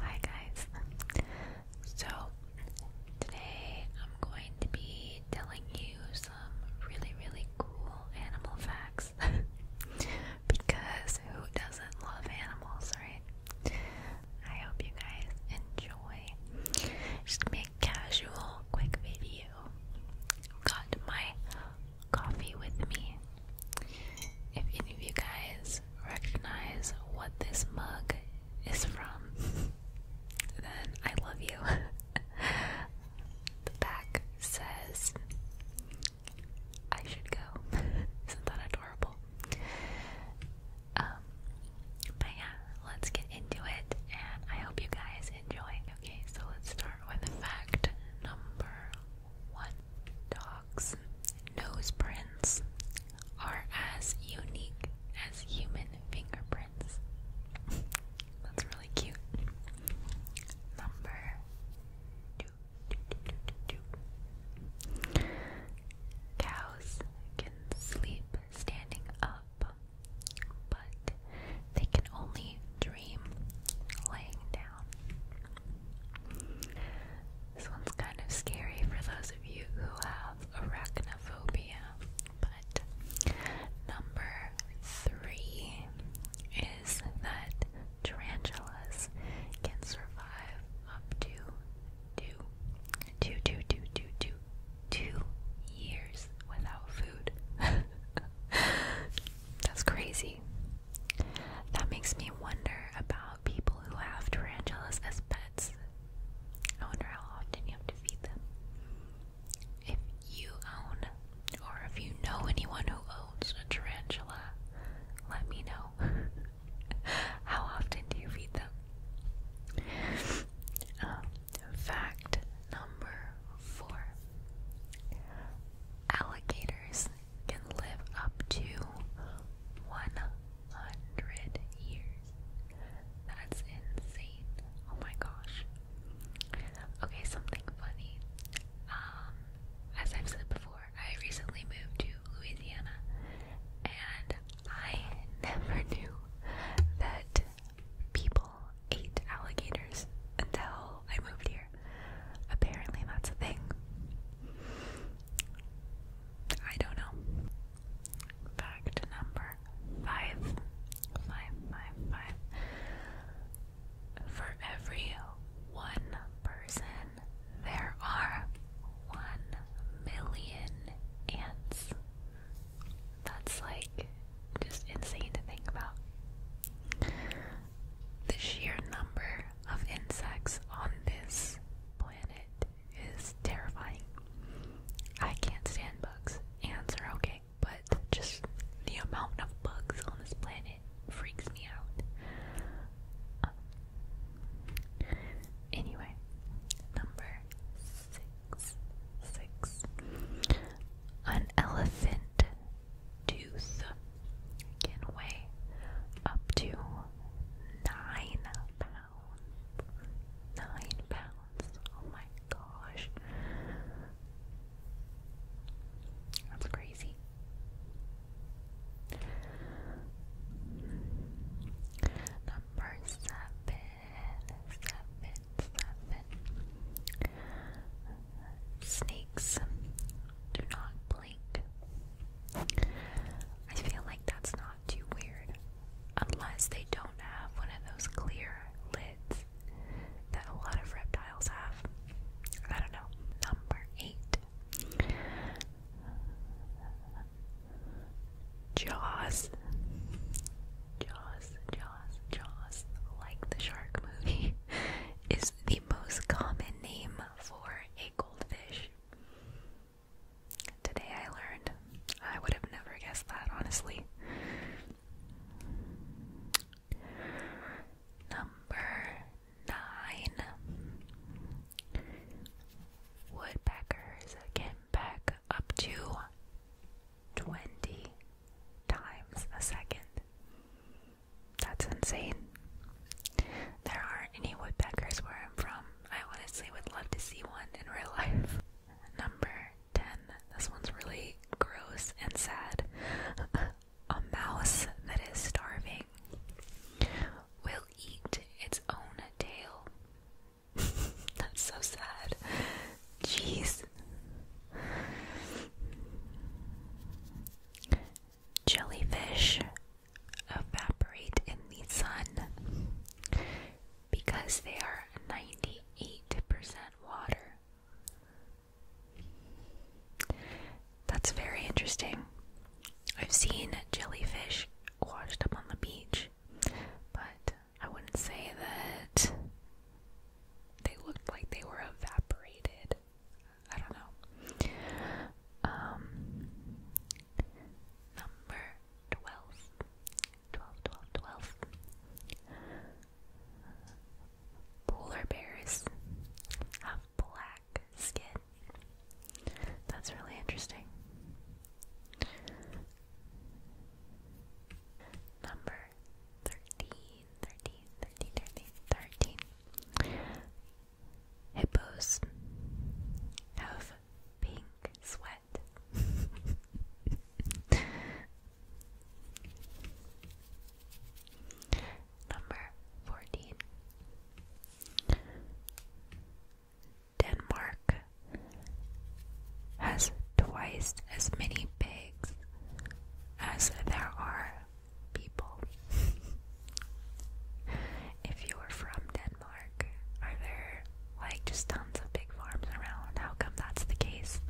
Hi guys. So today I'm going to be telling you some really really cool animal facts because who doesn't love animals, right? I hope you guys enjoy. Just make casual quick video. got my coffee with me if any of you guys recognize what this mug is from, then I love you. the back says, I should go. Isn't that adorable? Um, but yeah, let's get into it, and I hope you guys enjoy. Okay, so let's start with fact number one dogs' nose prints are as unique as human fingerprints. That's really cute. Number two, two, two, two, two. Cows can sleep standing up, but they can only dream laying down. This one's kind of scary for those of you who have arachnophobia. But number three is that tarantulas can survive up to two, two, two, two, two, two, two years without food. That's crazy. That makes me wonder about about people who have tarantulas as pets. I wonder how often you have to feed them. If you own, or if you know anyone who owns a tarantula, let me know. how often do you feed them? Um, fact number four alligators can live up to 100 years. That's insane. Oh my gosh. Okay, something funny. Um, as I've said before, I recently moved to Louisiana and I never knew that people ate alligators until I moved here. Apparently, that's a thing. I don't know. Fact number five. Five, For every one person, there are one million ants. That's like just insane to think about. The sheer number of insects on this planet is terrifying. I can't stand bugs. Ants are okay, but just the amount of bugs on this planet freaks me out. anyway, number six. Six. An elephant tooth can weigh up to nine pounds. Nine pounds. Oh my gosh. That's crazy. Number seven, seven, seven. Snakes do not I feel like that's not too weird. Unless they don't have one of those clear lids that a lot of reptiles have. I don't know. Number eight Jaws. Jaws, Jaws, Jaws, like the shark movie, is the most common name for a goldfish. Today I learned. I would have never guessed that, honestly. Number nine. Woodpeckers can peck up to 20 times a second. That's insane. There aren't any woodpeckers where I'm from. I honestly would love to see one in real life. Number 10. This one's really gross and sad. A mouse that is starving will eat its own tail. That's so sad. Jeez jellyfish evaporate in the sun because they are 98% water. That's very interesting. I've seen jellyfish washed up on the beach, but I wouldn't say that they looked like they were evaporated. I don't know. Um, number 12. Polar bears have black skin. That's really interesting. Number 13. 13, Hippos have pink sweat. Number 14. Denmark has twice as many pigs as there are people. if you are from Denmark, are there like just tons of big farms around? How come that's the case?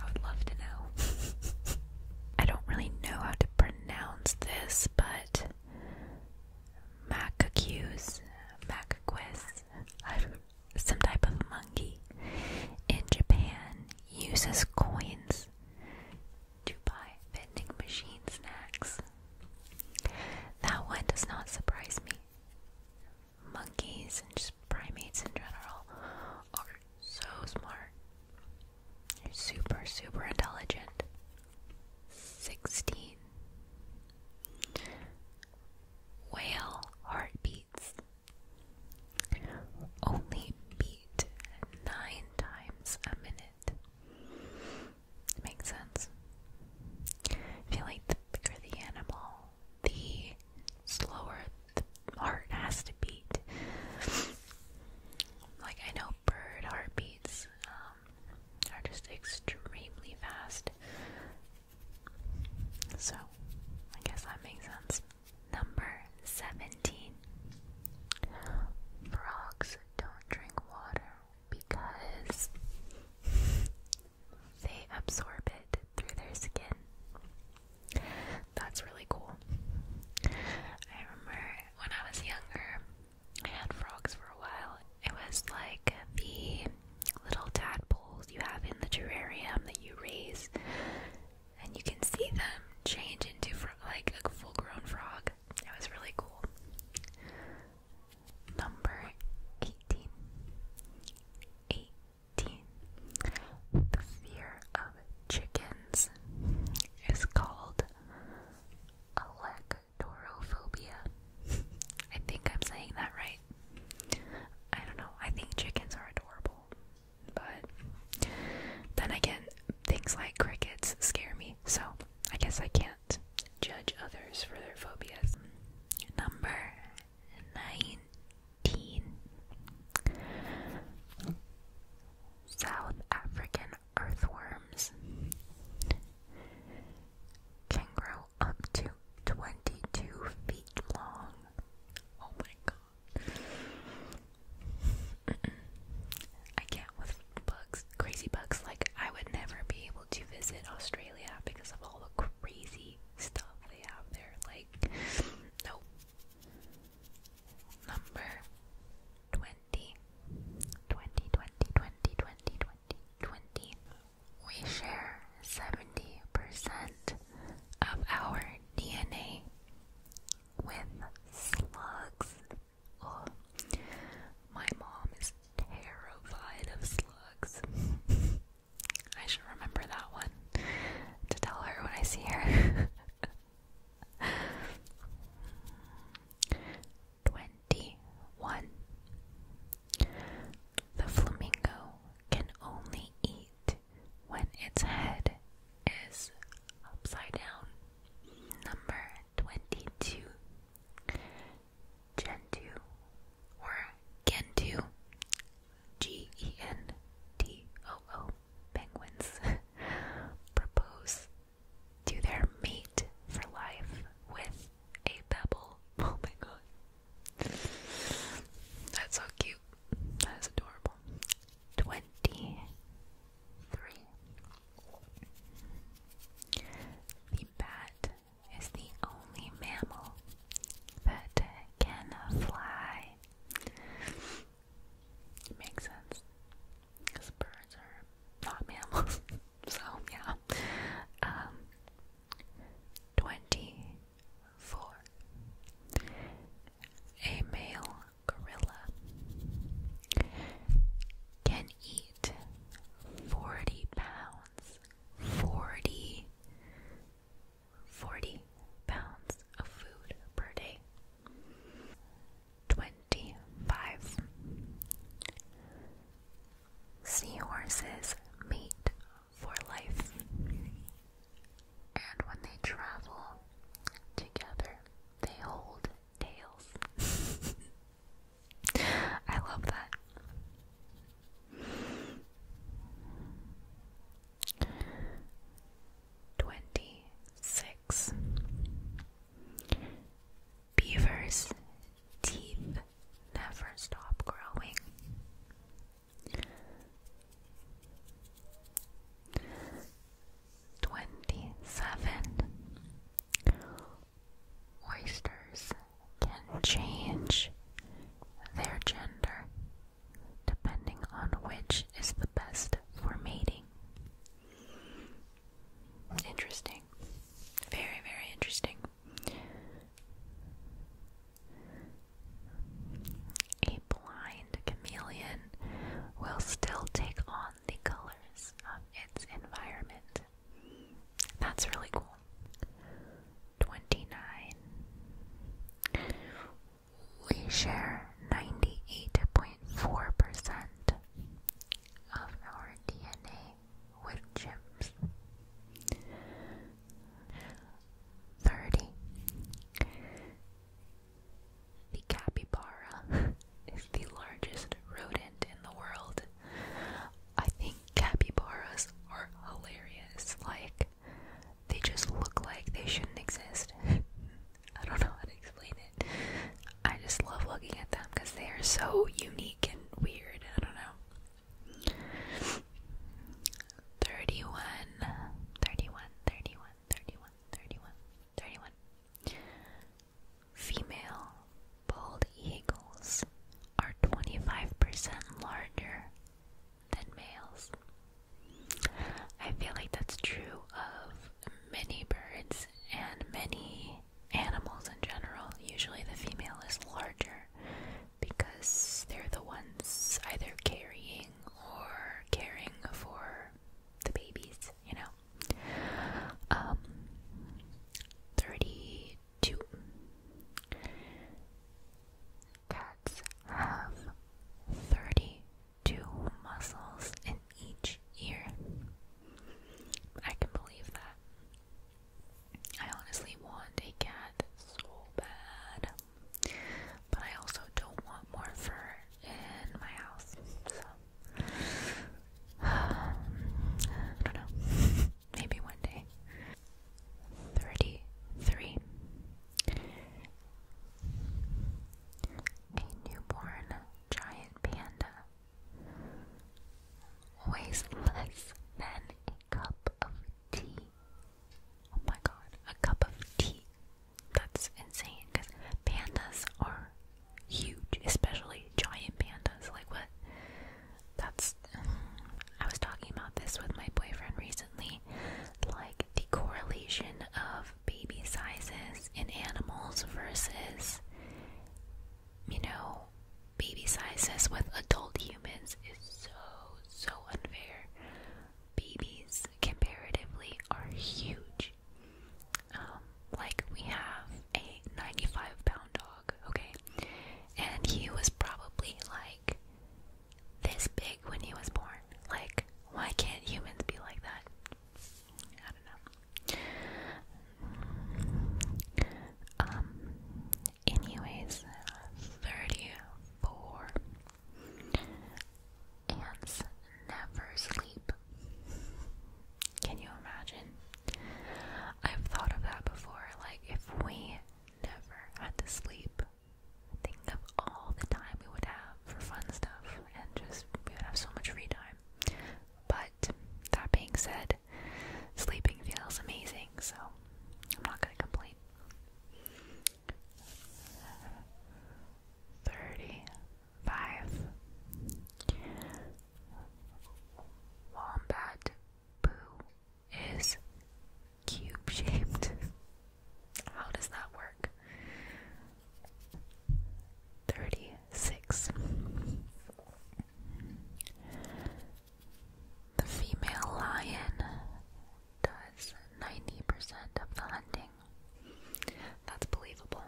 I would love to know. I don't really know how to pronounce this, but macaques, macaques, some type of monkey in Japan uses coins to buy vending machine snacks. That one does not surprise me. Monkeys and just primates in general are so smart. They're super, super intelligent. 16. Whale heartbeats. Only beat nine times a minute. Makes sense. I feel like the bigger the animal, the slower the heart has to beat. Like I know bird heartbeats um, are just extremely fast. So I guess that makes sense. Number 17. Frogs don't drink water because they absorb it through their skin. That's really cool. I remember when I was younger, I had frogs for a while. It was like the little tadpoles you have in the terrarium that you raise and you can see them change into like a full-grown frog. That was really cool. Number eighteen. Eighteen. The fear of chickens is called electorophobia. I think I'm saying that right. I don't know. I think chickens are adorable. But then again, things like crickets scare me, so I guess I can't judge others for their phobias. Number 19 South African earthworms can grow up to 22 feet long. Oh my god. I can't with bugs, crazy bugs. Like, I would never be able to visit Australia because of all the crazy stuff they have there. Like, Number 20. We share 70% of our DNA with slugs. Oh, my mom is terrified of slugs. I should remember that one to tell her when I see her. 21. The flamingo can only eat when its head is upside down. Number 22. Gentoo or Gentoo. G E N T O O. Penguins propose to their mate for life with a pebble. Oh my god. That's so cute. That is adorable. Twenty three. The bat is the only mammal that can fly. makes sense. Because birds are not mammals. so, yeah. Um, 24. A male gorilla can eat 40 pounds, 40, pounds of food per day. 25. Seahorses mate for life. And when they travel together, they hold tails. I love that. Twenty six Beavers' teeth never stop growing. Twenty seven oysters can change their gender depending on which is the best for mating. Interesting. Very, very interesting. A blind chameleon will still take on the colors of its environment. That's really cool. 29. We share 98.4% of our DNA with chimps. Thirty. The capybara is the largest rodent in the world. I think capybaras are hilarious. Like, they just look like they shouldn't exist. I don't know how to explain it. I just love looking at them because they are so unique and weird. I don't know. 31 31 31 31 31 31 Female bald eagles are 25% larger than males. I feel like that's true of many birds and many animals in general. Usually the female is larger because they're the ones either carrying or caring for the babies, you know. Um, 32. Cats have 32 muscles in each ear. I can believe that. I honestly want a cat so bad. But I also don't want more fur in my house. So I don't know. Maybe one day. Thirty three. A newborn giant panda weighs less than a cup of tea. Oh my god, a cup of tea. That's insane because pandas are huge, especially giant pandas. Like, what? That's. I was talking about this with my boyfriend recently. Like, the correlation of baby sizes in animals versus, you know, baby sizes with adult humans is so, so unfair babies comparatively are huge. Um, like we have a 95 pound dog, okay? And he was probably like this big when he was born. Like, why can't humans be like that? I don't know. Um, anyways, 34 Ants never sleep. Can you imagine? I've thought of that before. Like, if we never had to sleep, think of all the time we would have for fun stuff and just we would have so much free time. But that being said, sleeping feels amazing, so I'm not gonna complain. Thirty-five Wombat poo is cube shaped. How does that work? Thirty-six The female lion does 90% of the hunting. That's believable.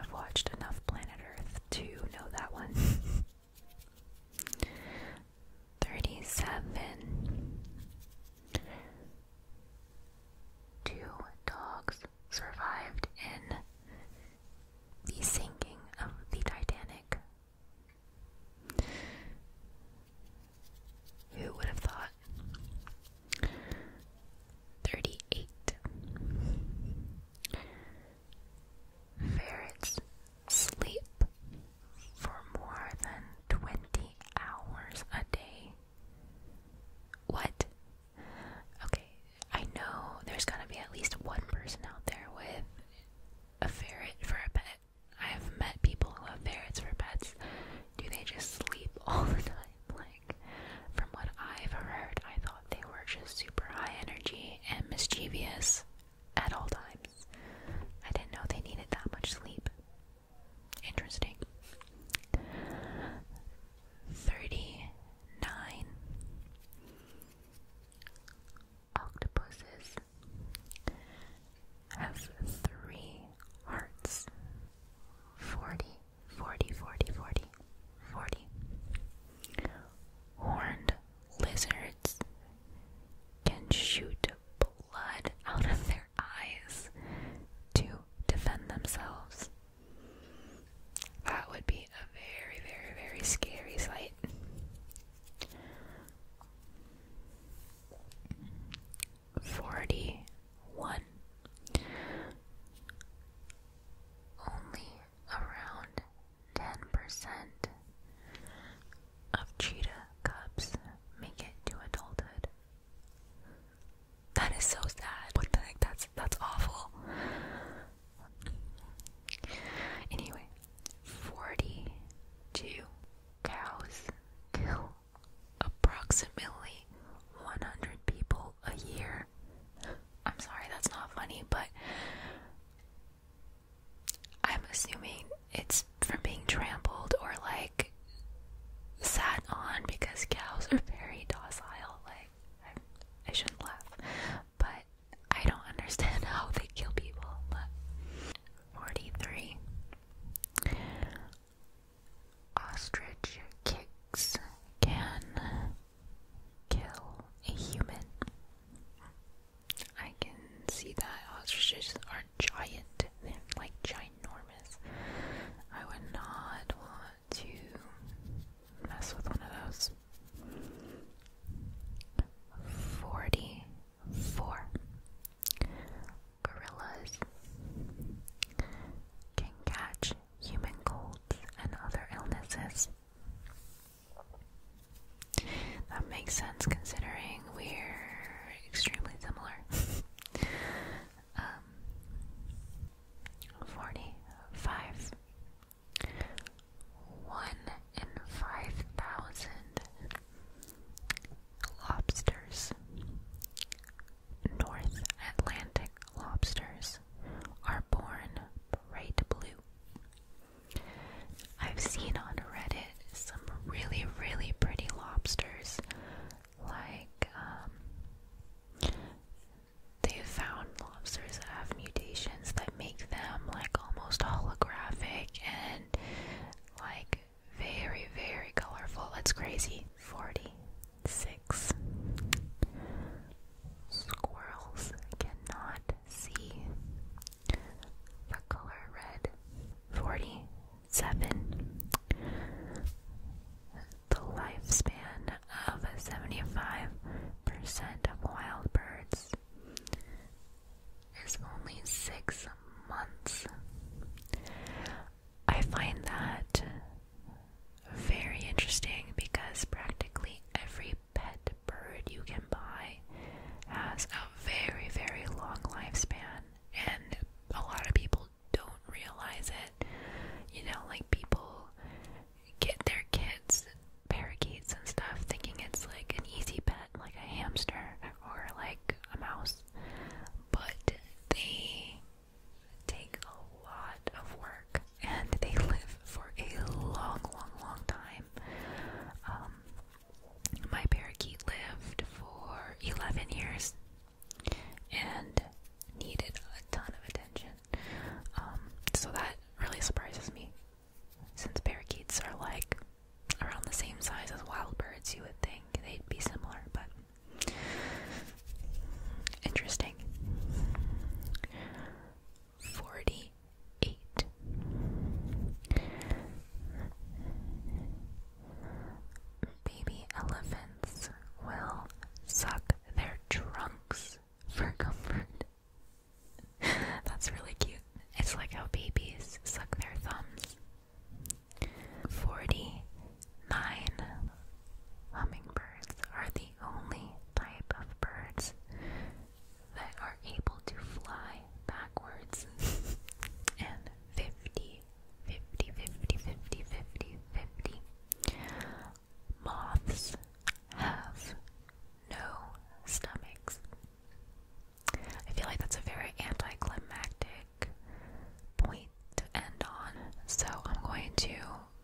I've watched enough Planet Earth to know that one. 37. Two dogs survived in the sinking of the Titanic. Who would have thought? 38. Ferrets sleep for more than 20 hours a day. What? Okay, I know there's going to be at least one person out there with a ferret for a pet. I've met people who have ferrets for pets. Do they just sleep all the time? Like, from what I've heard, I thought they were just super high energy and mischievous at all times. I didn't know they needed that much sleep. Interesting. 39. Octopuses have three hearts 40, 40, 40, 40, 40. Horned lizards can shoot blood out of their eyes to defend themselves. That would be a very, very, very scary sight. Forty one. Only around ten percent of cheetah cubs make it to adulthood. That is so sad. What the heck? That's that's awful. Anyway, 42 cows kill approximately 100 people a year. I'm sorry, that's not funny, but I'm assuming it's from being trampled or like sat on because cows are very docile. Like, I, I shouldn't laugh, but I don't understand how they kill people. 43. Ostrich kicks can kill a human. I can see that ostriches are giant. They're like ginormous. I would not to mess with one of those. Forty four gorillas can catch human colds and other illnesses. That makes sense considering we're extremely similar. um, Forty-five one in five thousand lobsters. North Atlantic lobsters are born bright blue. I've seen on Reddit some really, really pretty lobsters, like um, They've found lobsters that have mutations that make them like almost holographic and like very, very colorful. It's crazy. 46. Squirrels cannot see the color red. 47 the lifespan of 75% of wild birds is only six months. I find that very interesting because practically every pet bird you can buy has a very, very long lifespan, and a lot of people don't realize it. You know, like people get their kids parakeets and stuff, thinking it's like an easy pet, like a hamster or like a mouse, but they take a lot of work and they live for a long, long, long time. Um, my parakeet lived for 11 years and needed a ton of attention um, so that really surprises me. Since parakeets are like around the same size as wild birds, you would think they'd be similar, but interesting. 48. Baby elephants will suck their trunks for comfort. That's really cute. It's like how babies suck their thumbs. 49. Hummingbirds are the only type of birds that are able to fly backwards. and 50, 50, 50, 50, 50, 50. Moths have no stomachs. I feel like that's a very anticlimactic point to end on, so I'm going to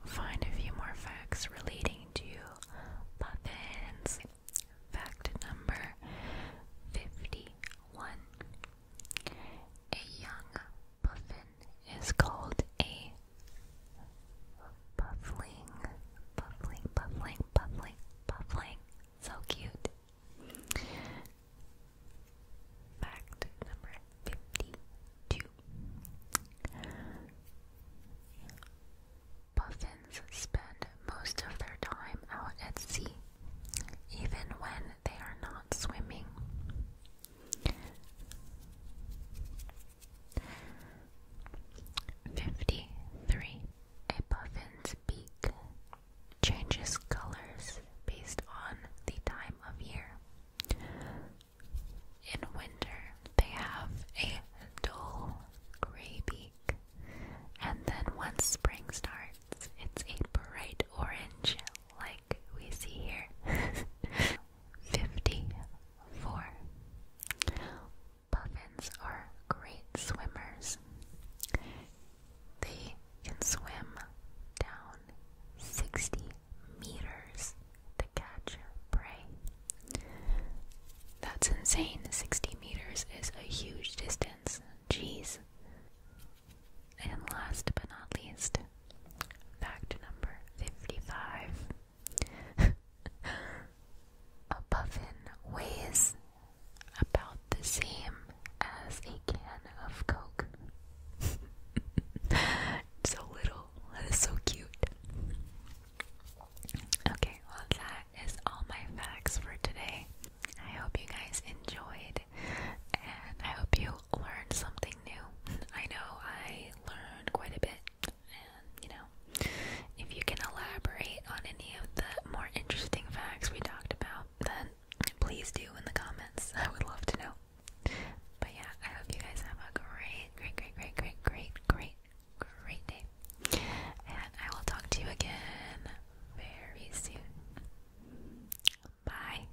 find a few more facts relating to puffins. Fact number 51 A young Puffin is called a puffling, puffling, puffling, puffling, puffling. So cute. Fact number 52 Puffins spend most of their time out at sea, even when they are not swimming. Fifty-three. A puffin's beak changes colors based on the time of year. In winter, they have a dull gray beak, and then once spring starts, it's a bright orange, like we see here. 54. Puffins are great swimmers. They can swim down 60 meters to catch prey. That's insane. 60 meters is a huge distance. Jeez. And last but not least, Fact number 55 A puffin weighs about the same as a can of Coke. so little. That is so cute. Okay, well, that is all my facts for today. I hope you guys enjoyed, and I hope you learn something new. I know I learned quite a bit, and you know, if you can elaborate on any of the more interesting facts we talked about, then please do in the comments. I would love to know. But yeah, I hope you guys have a great, great, great, great, great, great, great, great day. And I will talk to you again very soon. Bye.